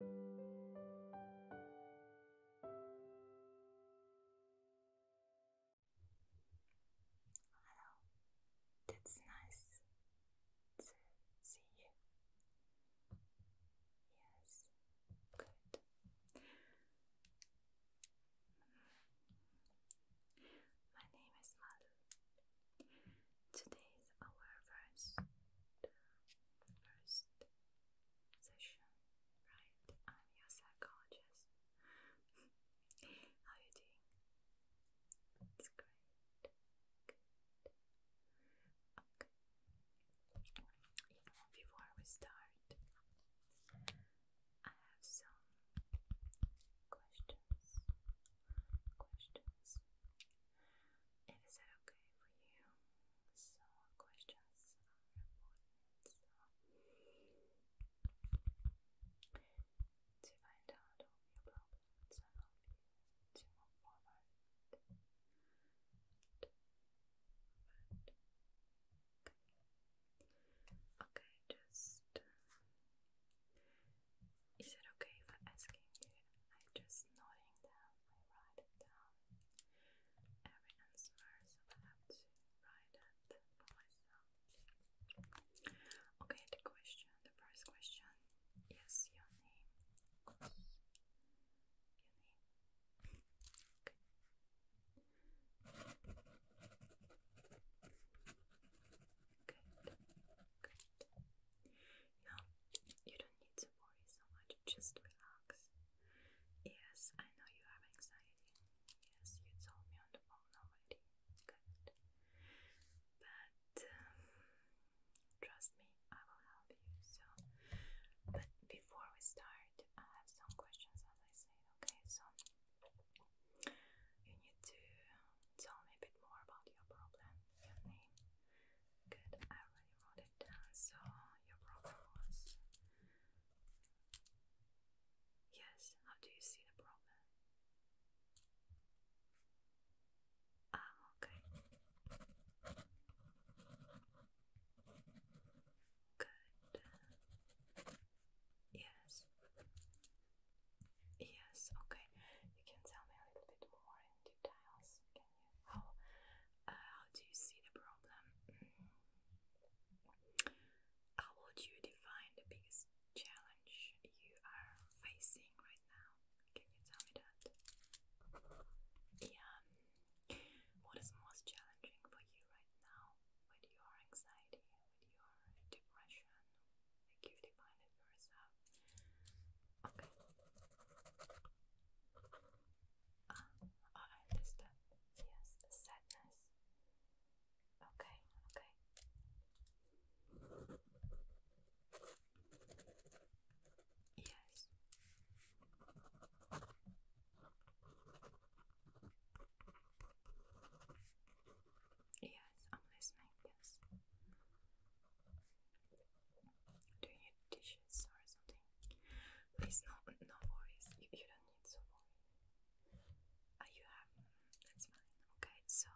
Hello, it's nice to see you. Yes, good. My name is Mal. Today is our first, first session, right? I'm your psychologist. How are you doing? It's great. Good. Okay. before we start, I have some questions. Questions and is that okay for you? So, questions are important. to find out your problems and to move forward. okay. just. Uh, is it okay if I'm asking you? I'm just noting down, I write it down every answer, so I have to write it for myself. Okay, the question, the first question is your name. Your name. Good. Good. Now, you don't need to worry so much, just relax. Yes, I know you have anxiety. Yes, you told me on the phone already. Good. But um, trust me, I will help you. So, but before we start, I have some questions, as I said. Okay, so you need to tell me a bit more about your problem, your name, Good, I already wrote it down, so your problem was. Yes, how do you see the problem? Ah, okay. Good. Yes. Yes, okay. You can tell me a little bit more details. Can you? How, how uh, do you see the problem? Mm. How would you define the biggest challenge you are facing right now? Can you tell me that? Yeah. What is most challenging for you right now? With your anxiety, with your depression, like you define have it Okay. Um, I understand. Yes, sadness. Okay, okay. Yes. Yes, I'm listening, yes doing your dishes or something. Please, no, no worries. You, you don't need to worry. Ah, you have, that's fine. Okay, so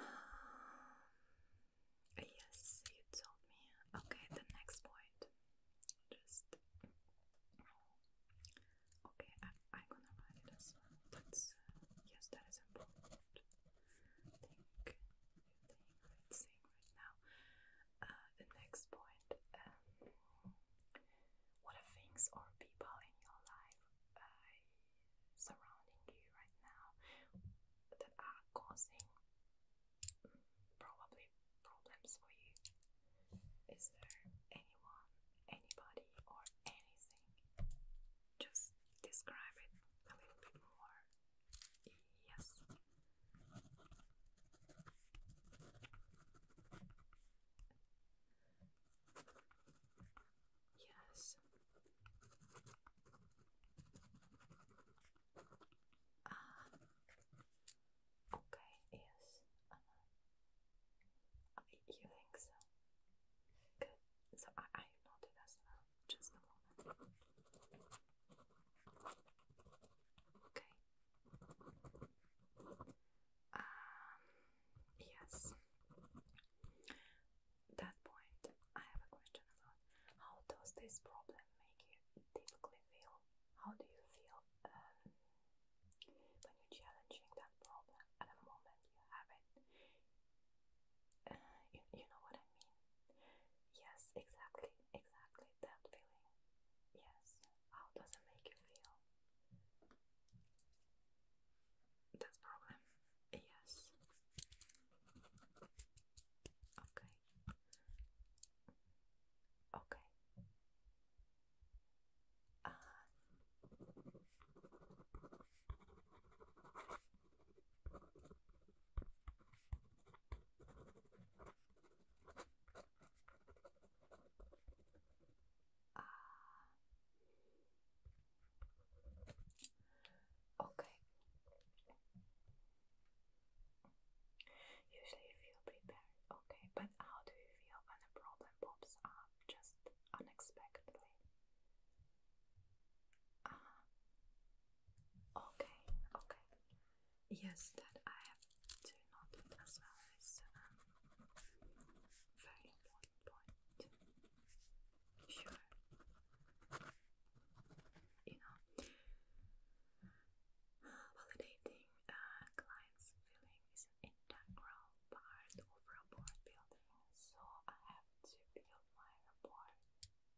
ah, yes, you told me. Okay, the next point. Just okay. I, am gonna write it uh, yes, that is important think I'm saying right now. Uh, the next point um, what are things or people in your life uh, surrounding you right now that are causing mm, probably problems for you? Is there anyone, anybody, or anything? Just describe it a bit more. Yes. Yes. Ah. Okay. Yes. Uh-huh. you think so? Good. So I, I am not well. Just a moment. Okay. Um, yes. That point, I have a question about how does this problem make you typically feel? How do you feel um, when you're challenging that problem at the moment you have it? Uh, you, you know what I mean? Yes, exactly, exactly that feeling. Yes, how does it make you feel? That's problem. Yes. Okay. Okay. Uh, uh, okay. Usually you feel okay, but how do you feel when a problem pops up just unexpectedly? Uh Okay, okay. Yes, that I have to note as well as um, very important Sure. You know, validating uh, client's feeling is an integral part of rapport building, so I have to build my rapport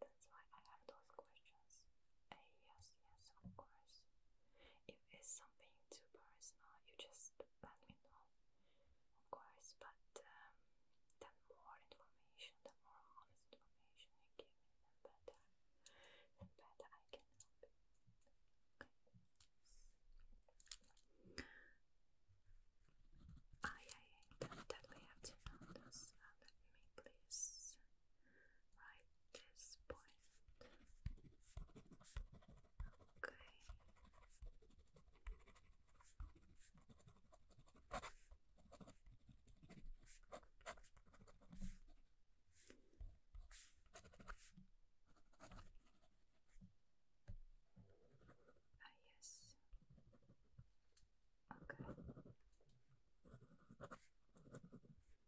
that's why I have those questions. yes, yes, of course. If it's something too personal, you just let me know, of course. But um, the more information, the more honest information you give me, the better, the better I can help I, I definitely have to know this. let uh, me please write this point. Okay. Ah, yes. Understood. Okay. Okay.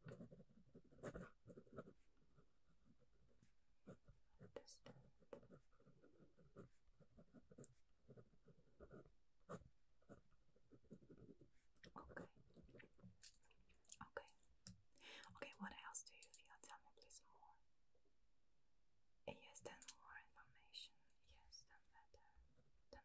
Okay, what else do you feel? Tell me please more. Yes, then more information. Yes, then better.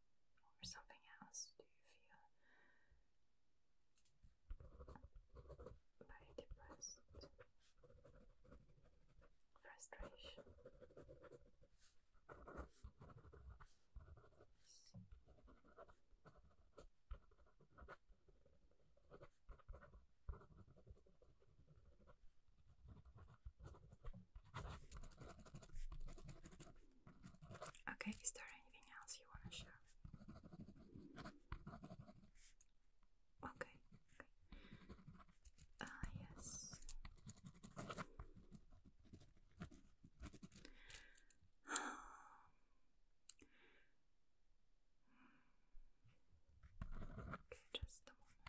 or something else do you feel by depressed frustration? Okay, is there anything else you want to share? Okay, Ah, yes. okay, just a moment.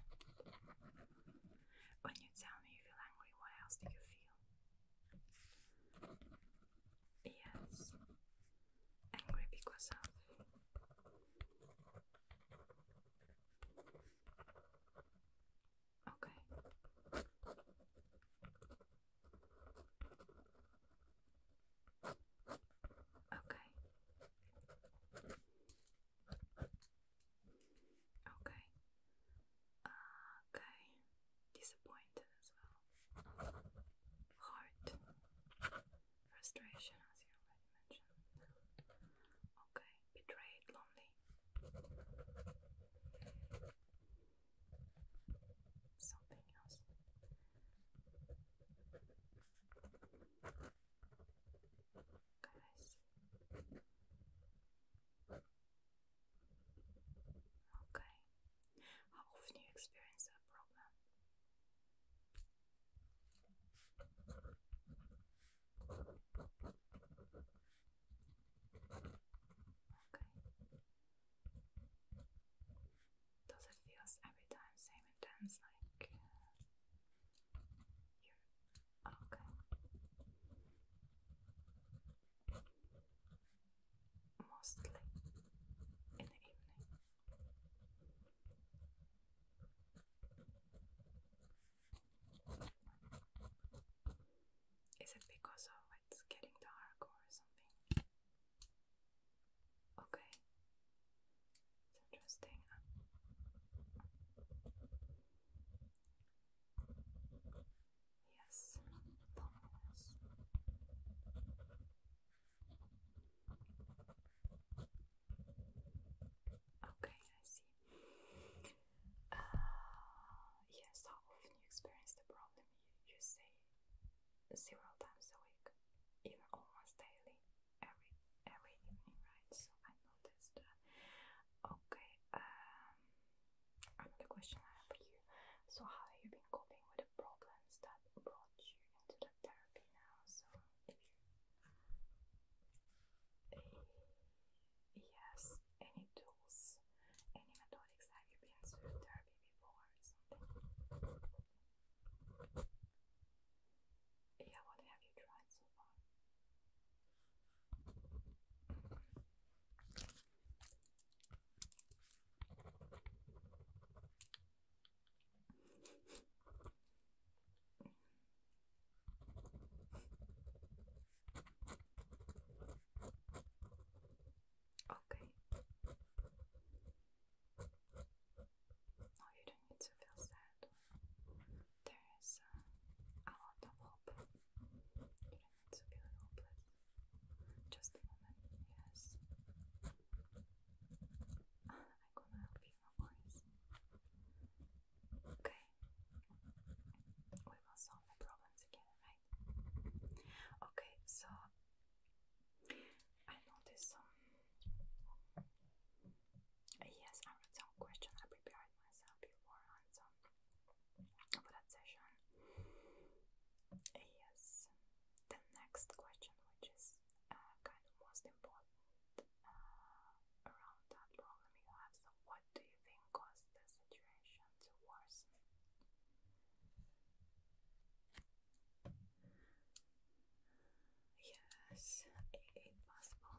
When you tell me you feel angry, what else do you feel? Yes, angry because of Okay. Okay. Okay. Okay, disappointed as well. Heart, frustration, as you already mentioned. Okay, betrayed, lonely. Something else. Guys. Okay. How you experience that problem? Okay. Does it feels every time same intense like Okay mostly in the evening. Is it because of it's getting dark or something? Okay, interesting. Yes, Okay, I see. Uh, yes, how often you experience the problem? You, say several times a week, even almost daily, every every evening, right? So I noticed. Uh, okay. Um, and question I have for you so, how have you been coping with the problems that brought you into the therapy now? So, if eh, you, yes, any tools, any methods have you been through therapy before or something? Yeah, what have you tried so far? Okay. No, you don't need to feel sad. There is uh, a lot of hope okay, little blood. Just a moment, yes. I'm gonna help you, no worries. Okay. We will solve the problems again, right? Okay, so I noticed some. Yes, I wrote some questions I prepared myself before and some for that session. Yes, the next question, which is uh, kind of most important uh, around that problem you have. what do you think caused the situation to worsen? Yes, it, it possible.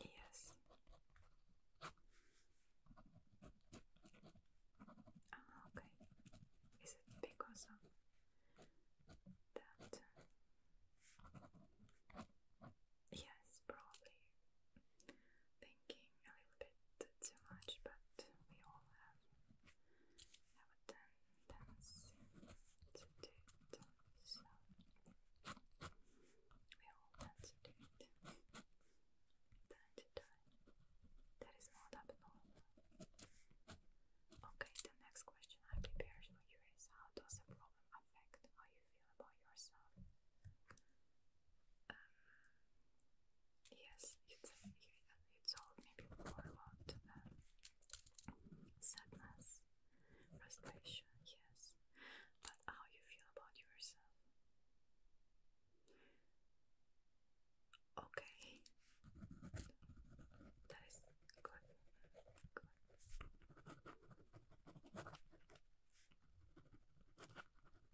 Yes. Ah, okay. Is it because of that? Yes, probably thinking a little bit too much, but we all have, have a tendency to do it, so we all have to do it That is not abnormal. Okay, the next question I prepared for you is how does the problem affect how you feel about yourself? um, yes, it's, it's all maybe about sadness, frustration, yes, but how you feel about yourself. Okay, that is good.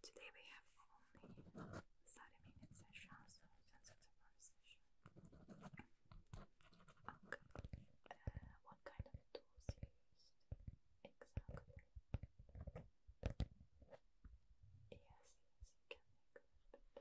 Today we have only Saturday session, so saxophone session. Okay. what kind of tools you used exactly? Yes, yes, you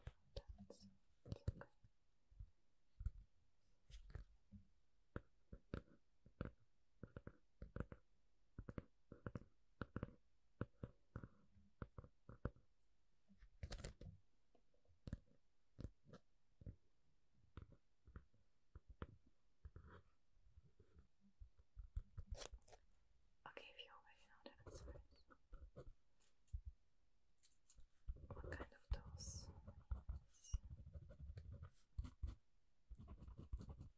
Okay, if you already know the answers, what kind of tools?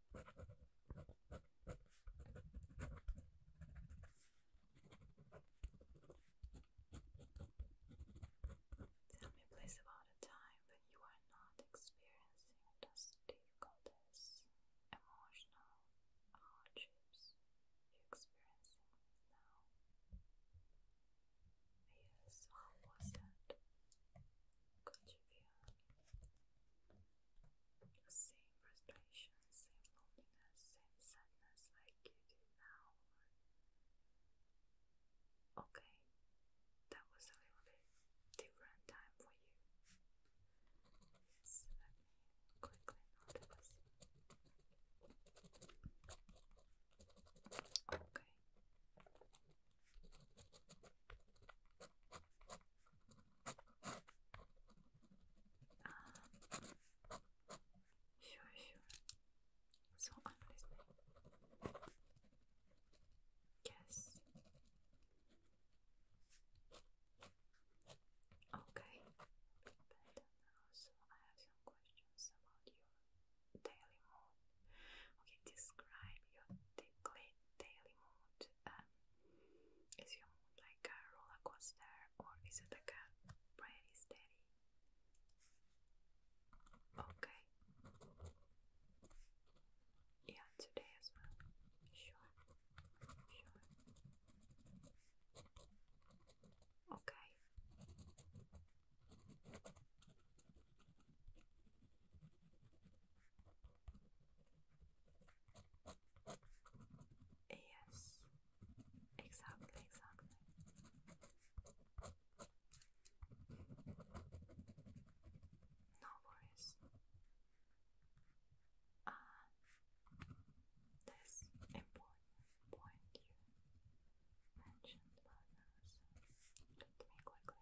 Tell me please about a time when you are not experiencing those difficulties, emotional hardships you're experiencing now. Yes, how was it? Could you feel the same frustration, same loneliness, same sadness like you do now. Okay, that was a little bit different time for you. Yes, quickly Okay, um, sure, sure. So honestly, yes. Okay, but also I have some questions about your daily mood. Okay, describe your daily mood um, is your mood like a roller coaster or is it like a pretty steady? Okay. Yeah, today as well. Sure. Sure. Okay. Yes, exactly, exactly. No worries. Ah, this important point you mentioned, but let me quickly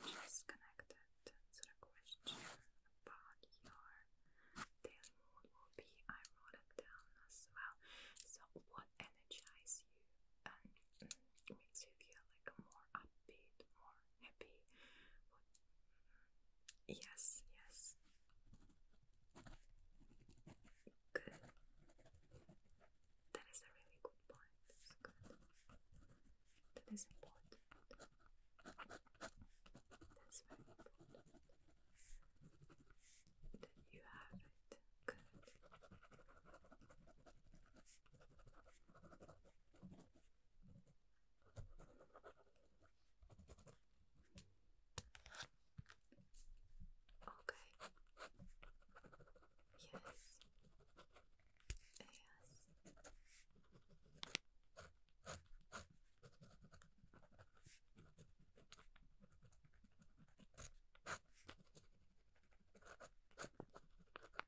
which is connected to the question about your daily mood will be. I wrote it down as well. So, what energizes you and makes you feel like more upbeat, more happy? Yes, yes. Good. That is a really good point. That's important. That's very important. That you have it. Okay. Yes. Yes.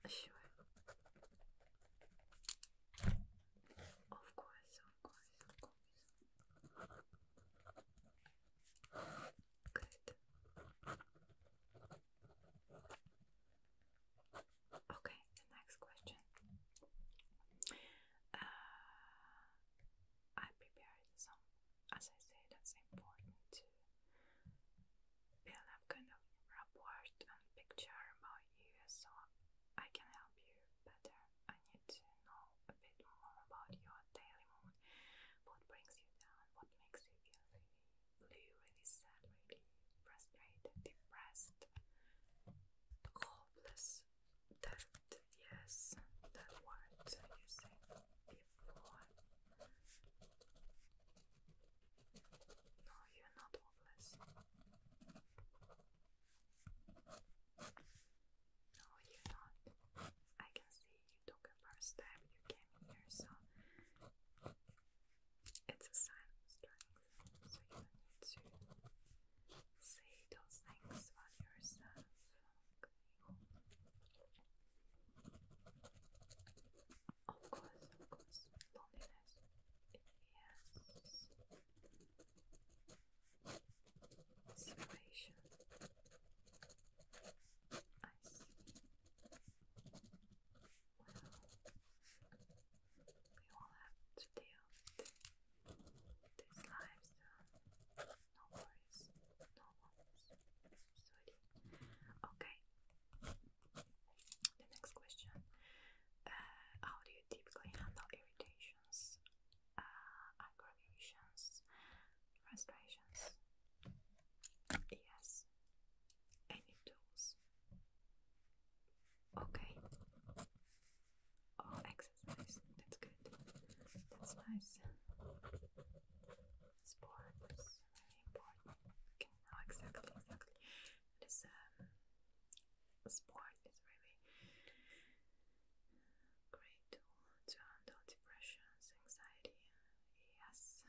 Sure. Of course, of course, of course. Good. Okay, the next question. Uh, I prepared some, as I say, that's important to build up kind of rapport and picture about you so I can help you better. I need to know a bit more about your daily mood, what brings you down, what makes you feel Really, really sad, really frustrated, depressed, hopeless. yes, that word you said before. No, you're not hopeless. No, you're not. I can see you took a first step, you came here, so it's a sign of strength, so you need to say those things about yourself. Of course, of course, loneliness. Yes. Separation. I see we all have to deal with this life, so no worries, no one's sweaty. Okay, the next question. how uh, do you typically handle irritations, uh, aggravations, frustrations? Yes, any tools. Okay. Oh, exercise. That's good. That's nice. Sports, very important. Okay, now exactly, exactly. This um, sport is really great tool to handle depressions, anxiety. Yes,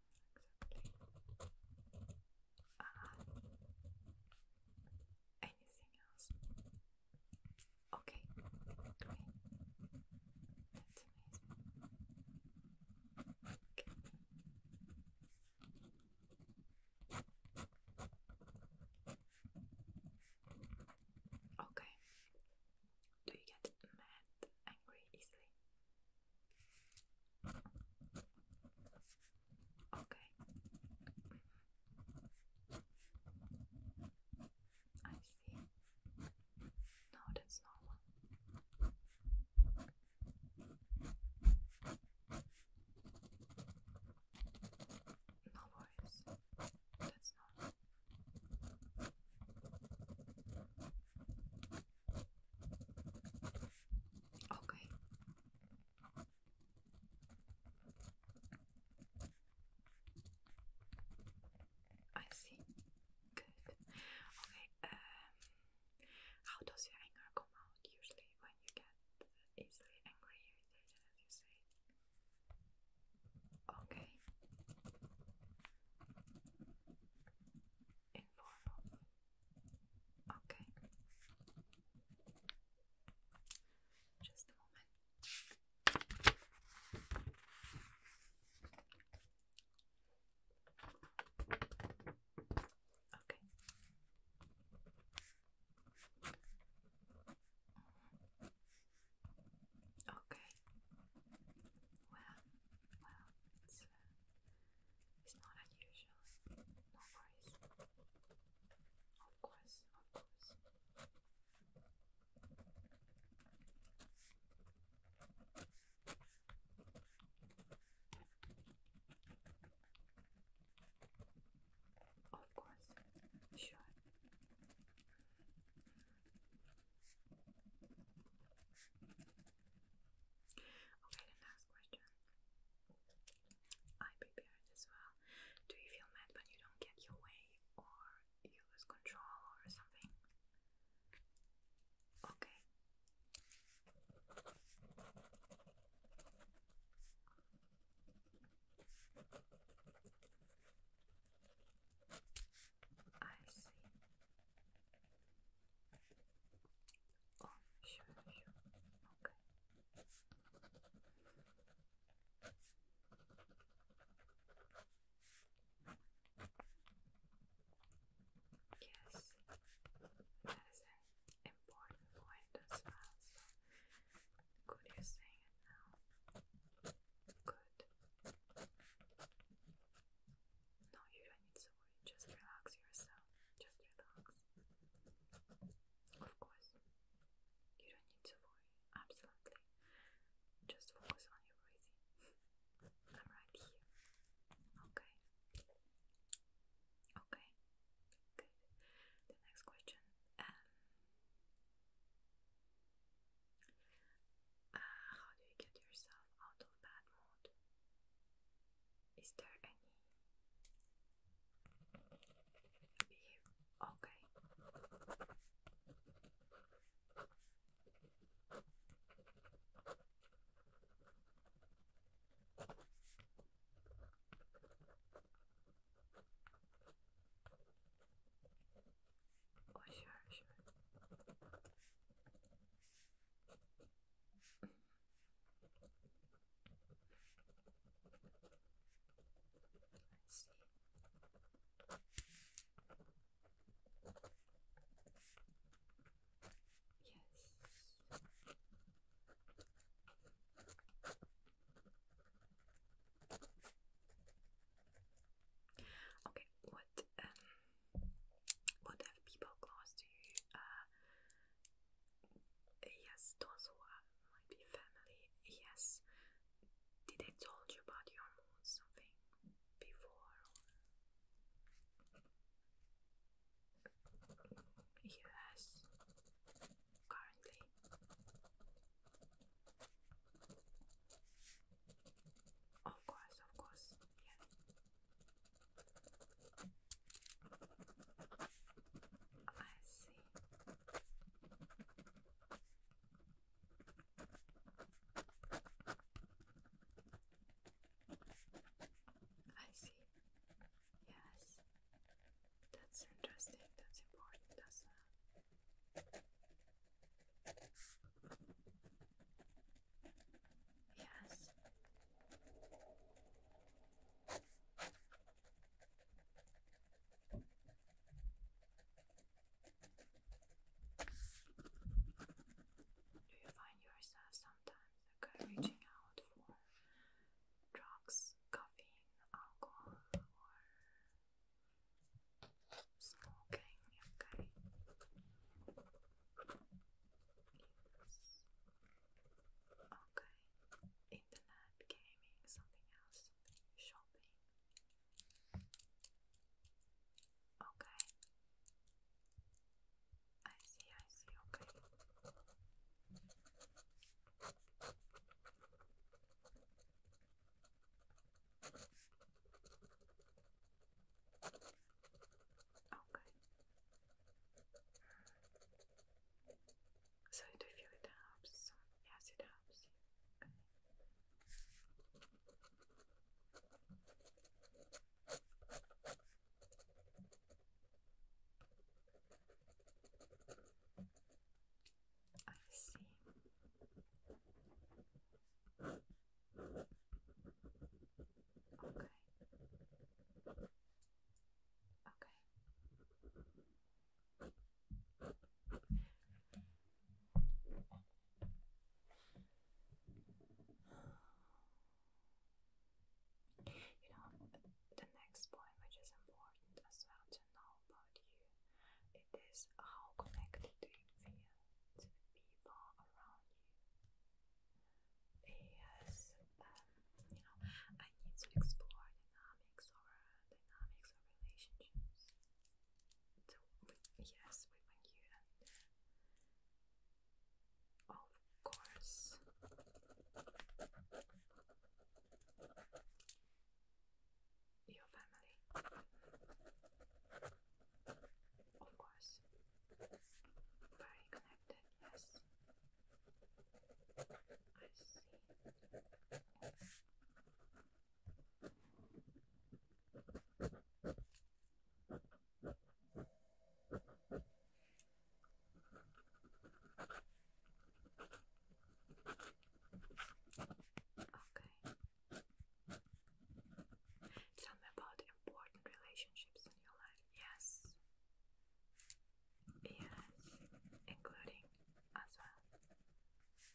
exactly. Uh, anything else? Okay, great. That's amazing. Okay. Okay. Do you get mad, angry easily? Okay. I see. No, that's normal. No worries. That's normal. Okay. I see. Good. Okay. Um, how does your anger come out usually when you get easily angry, irritated, as you say? Okay. In form Okay. Just a moment. Okay. Okay. Well, well, it's not unusual. No worries. Of course, of course. Of course, sure. Okay, the next question. I prepared as well. Do you feel mad when you don't get your way or you lose control or something? Okay. I see. Oh, Yes, that is an important point as well. So, could you sing it now? Good. No, you don't need to worry. Just relax yourself. Just relax. Of course. You don't need to worry. Absolutely. Just focus on your breathing. I'm right here. Okay. Okay. Good. The next question. Um, uh, how do you get yourself out of bad mood? Is there any Okay. Oh, sure, sure. Let's see. Yes. Okay, what um, what have people close to you? yes, uh, those who might be family. Yes, did they told you about your mood something before? Yes, currently. Of course, of course, yeah. I see. I see. Yes. That's interesting. That's important as well. Yes. Do you find yourself sometimes like, out for drugs, caffeine, alcohol, or smoking? Yes. Okay. Internet, gaming, something else, shopping. Okay. I see, I see, okay. Okay. So do you feel it helps? Yes, it helps. I see. Okay. Okay. You know, the next point which is important as well to know about you, it is how connected to the people around you is, um, you know, I need to explore dynamics or dynamics or relationships. yes, with you and of course. Your family, of course, very connected, yes, I see. Okay. Tell me about important relationships in your life. Yes. Yes, including as well,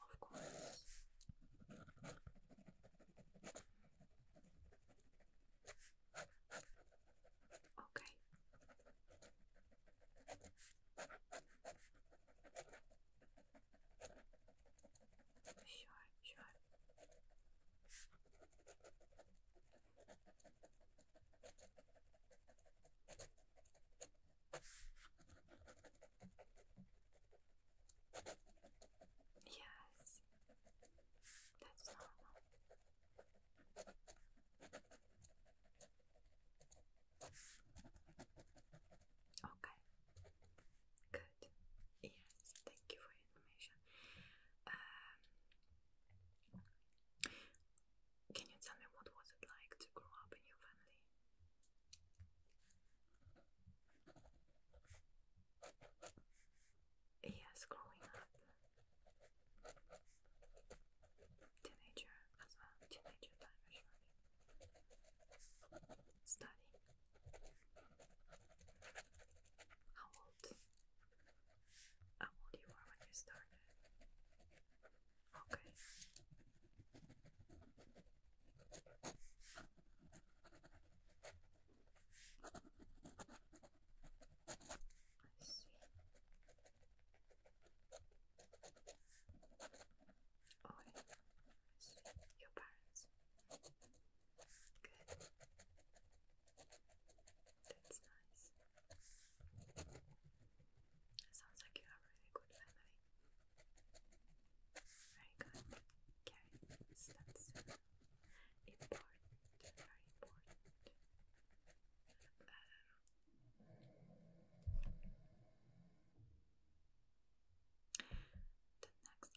of course. Okay. Sure, sure. Yes, that's normal. Okay, good. Yes, thank you for information. Um, can you tell me what was it like to grow up in your family? Yes, growing up. Teenager as well. Teenager time actually. Studying. How old? How old you were when you started? Okay. I see. Oh, Your parents. Good. That's nice. It sounds like you have really good family. Very good. Carrots, that's important, very important. Um, the next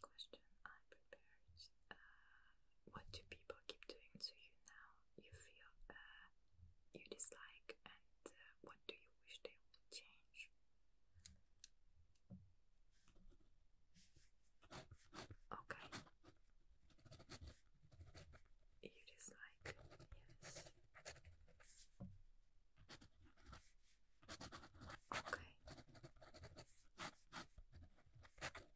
question I prepared. Uh, what do people keep doing to you now you feel uh, you dislike and uh, what do you wish they change? Okay. You dislike, yes. Okay.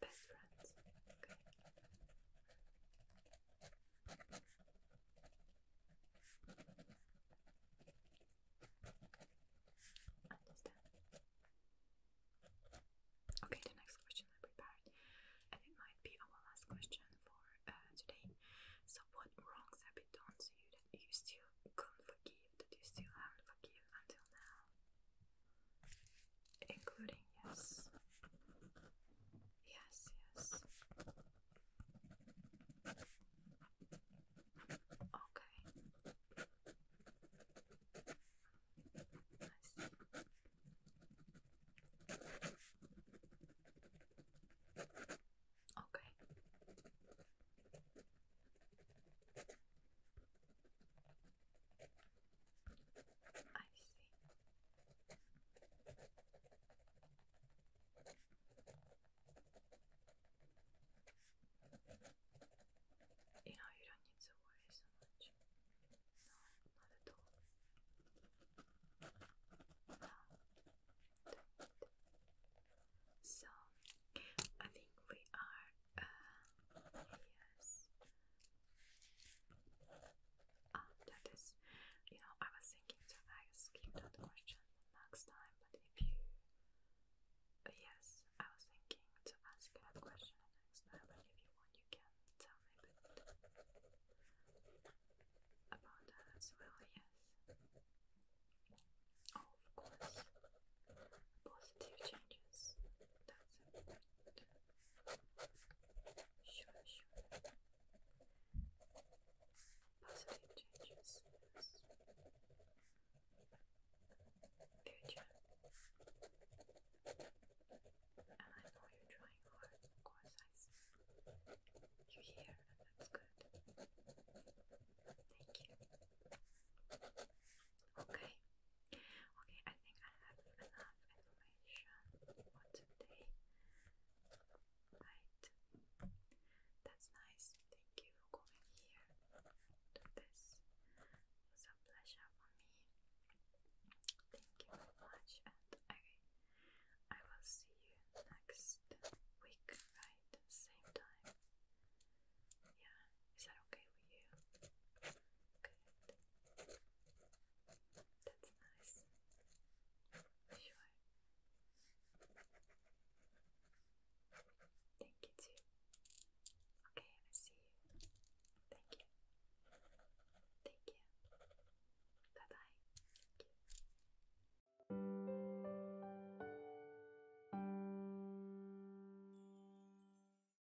best Okay. Okay, the next question I prepared, and it might be our last question for uh, today. So, what wrongs have been done to you that you still couldn't forgive, that you still haven't forgiven until now? including yes, yes, yes. Okay. I see. Okay. I see. You know, you don't need to worry so much. No, not at all. so, I think we are, uh, yes, uh, that is, you know, I was thinking to ask you that question next time, but if you, uh, yes, I was thinking to ask that question next time, but if you want, you can tell me about that as well, yes. Oh, of course, positive changes, that's it. Sure, sure. Positive changes. Yes. Good job. And I know you're trying hard, of course I see. you here and that's good. Thank you. Okay. Okay, I think I have enough information for today. Right. That's nice. Thank you for coming here to this. was a pleasure for me. Thank you very much and I will see you next week, right? Same time. Yeah, is that okay with you? Good. That's nice. Sure. Thank you too. Okay, I see you. Thank you. Thank you. Bye bye. Thank you.